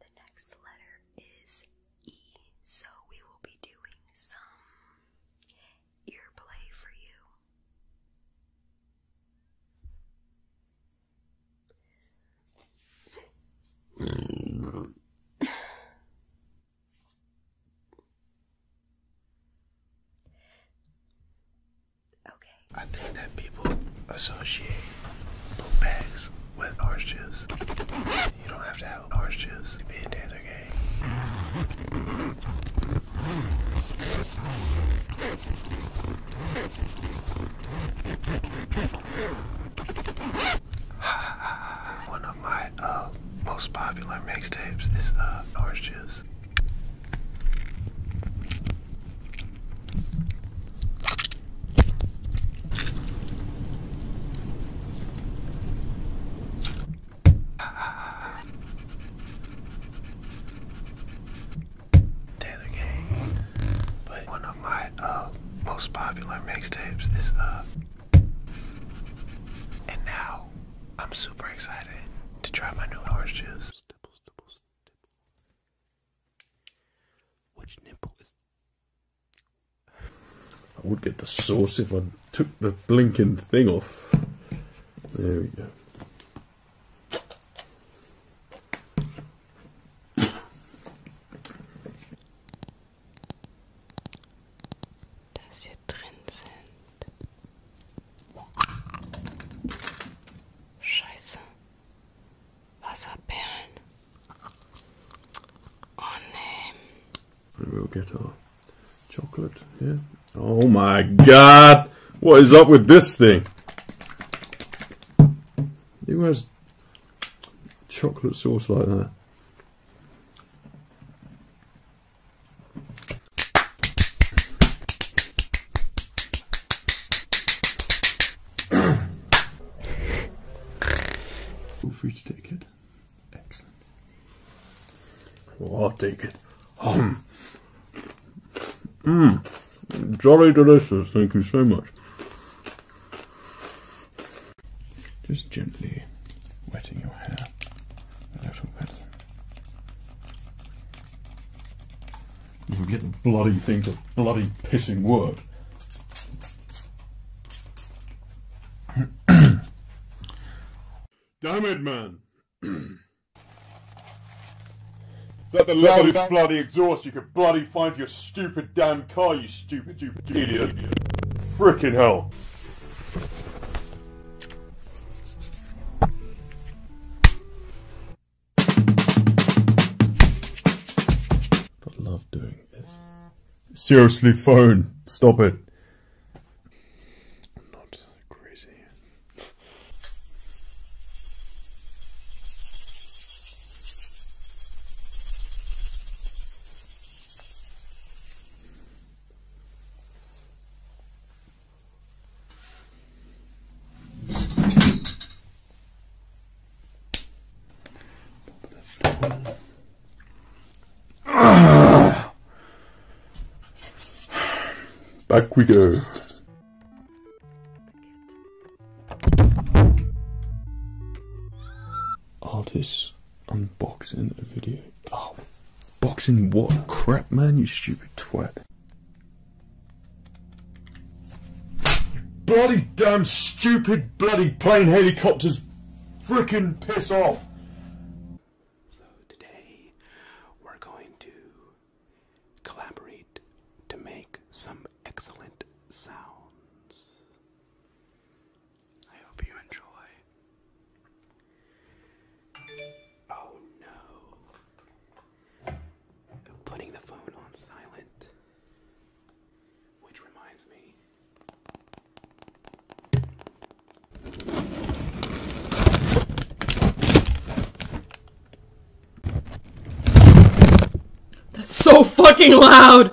The next letter is E, so we will be doing some ear play for you. Okay. I think that people associate book bags with orange juice. You don't have to have orange juice to be a dancer game. One of my uh, most popular mixtapes is uh, orange juice. Taylor Gang, but one of my uh, most popular mixtapes is uh, and now I'm super excited to try my new orange juice. Which nipple is? I would get the sauce if I took the blinking thing off. There we go. dass hier drin sind. Scheiße. Wasserperlen. Oh nee. We'll get our chocolate here. Oh my god! What is up with this thing? Who has chocolate sauce like that? Feel free to take it. Excellent. I'll take it. Mmm. Jolly delicious. Thank you so much. Just gently wetting your hair a little bit. You can get the bloody thing to bloody pissing work. Damn it, man! Is that the so level of bloody exhaust you could bloody find for your stupid damn car, you stupid, stupid, idiot? Freaking hell. I love doing this. Seriously, phone, stop it. Not crazy. Back we go. Artists unboxing a video. Oh, boxing what? Crap, man, you stupid twat. Bloody damn stupid bloody plane helicopters freaking piss off. So today we're going to collaborate to make some excellent sounds. I hope you enjoy. Oh no. Putting the phone on silent. Which reminds me. That's so fucking loud!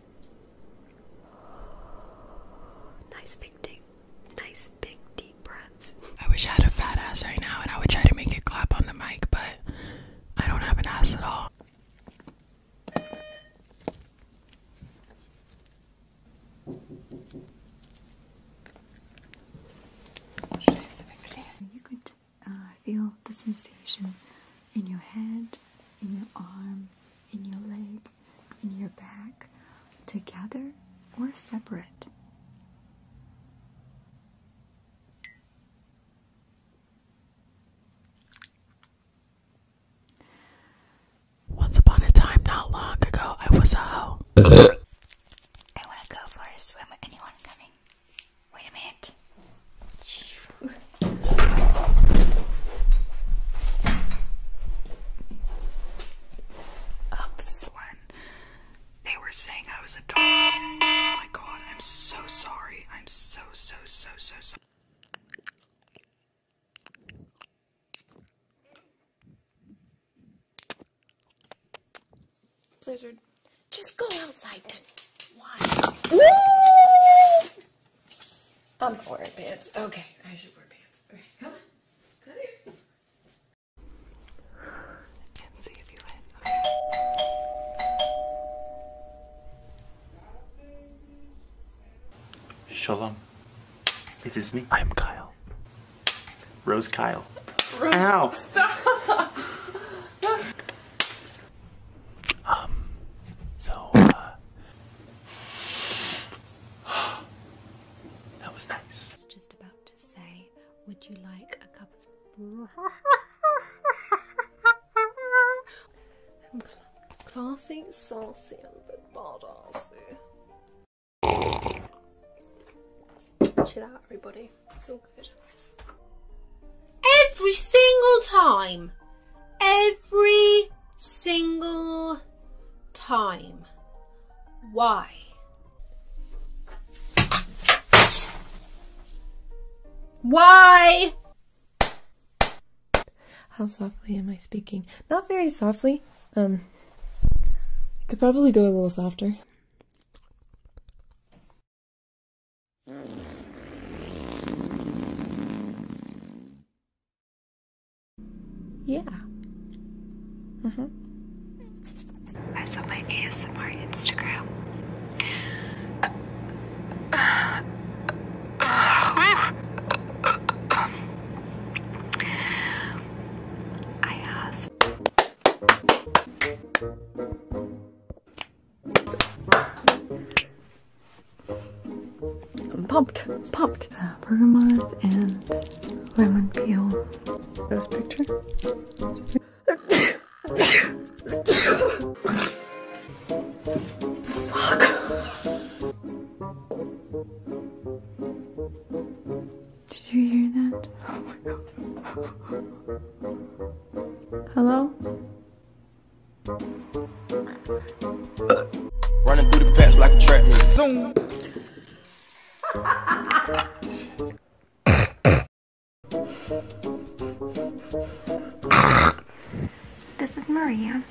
Nice big deep, nice big deep breaths. I wish I had a fat ass right now, and I would try to make it clap on the mic, but I don't have an ass at all uh, feel the sensation in your head, in your arm, in your leg, in your back, together or separate. Once upon a time, not long ago, I was a hoe. I want to go for a swim. Anyone coming? Wait a minute. Oops. When they were saying I was a dog. Oh my god, I'm so sorry. I'm so, so, so, so sorry. Blizzard. Just go outside then. Why? I'm not wearing pants. Okay, I should wear pants. Okay, come on. Come here. And see if you win. Shalom. It is me. I am Kyle. Rose Kyle. Rose, Ow! Stop! Um, so, uh, that was nice. just about to say, would you like a cup of. i classy, saucy, and a bit bardassy. Chill out, everybody. It's all good. Every single time. Every single time. Why? Why? How softly am I speaking? Not very softly. Um, I could probably go a little softer. Yeah. hmm I saw my ASMR Instagram. I asked. I'm pumped, Popped the uh, bergamot and lemon peel. This picture. Fuck. Did you hear that? Hello? this is Maria.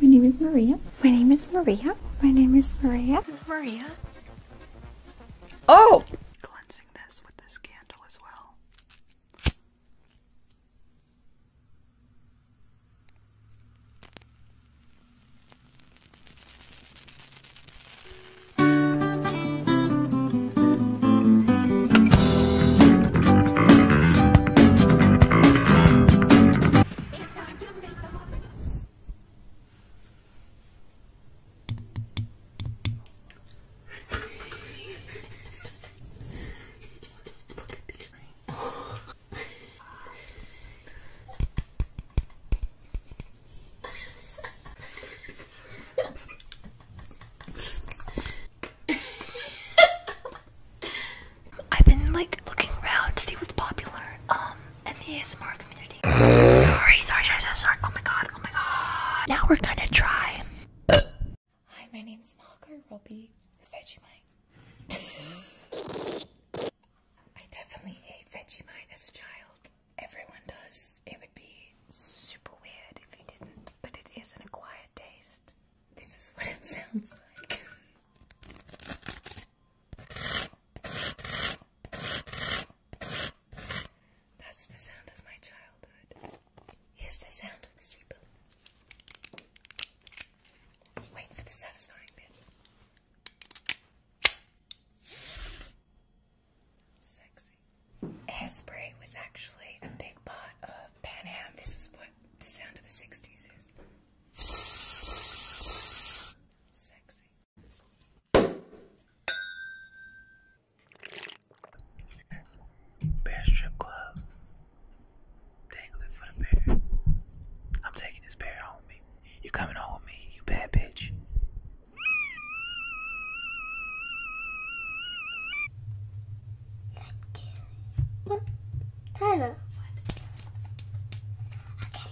My name is Maria. My name is Maria. My name is Maria. Maria. Oh! mixing this with this candle as well. I've been like looking around to see what's popular. Um in the ASMR community. sorry, sorry, sorry, sorry, sorry. Oh my god, oh my god. Now we're gonna try. Hi, my name's Margaret Robbie Vegemite. I definitely ate Vegemite as a child. Everyone does. It would be super weird if you didn't, but it is an acquired taste. This is what it sounds like. That's the sound of my childhood. Here's the sound of the zipper. Wait for the satisfying bit. Sexy. Hairspray was actually a big part of Pan Am. This is what the sound of the 60s is. Sexy. Bear strip club. Dangling for the bear. I'm taking this bear home You coming home with me, you bad bitch. What? Tyler. Okay.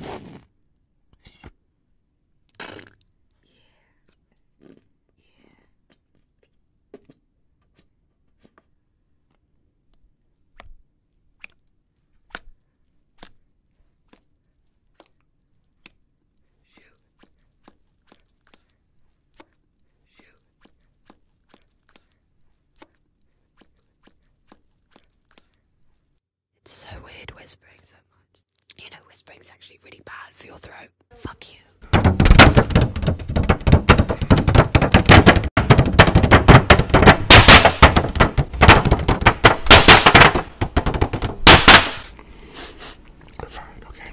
Yeah. Yeah. Shoot. Shoot. It's so weird whispering so much. You know, whispering is actually really bad for your throat. Fuck you. Fine, okay.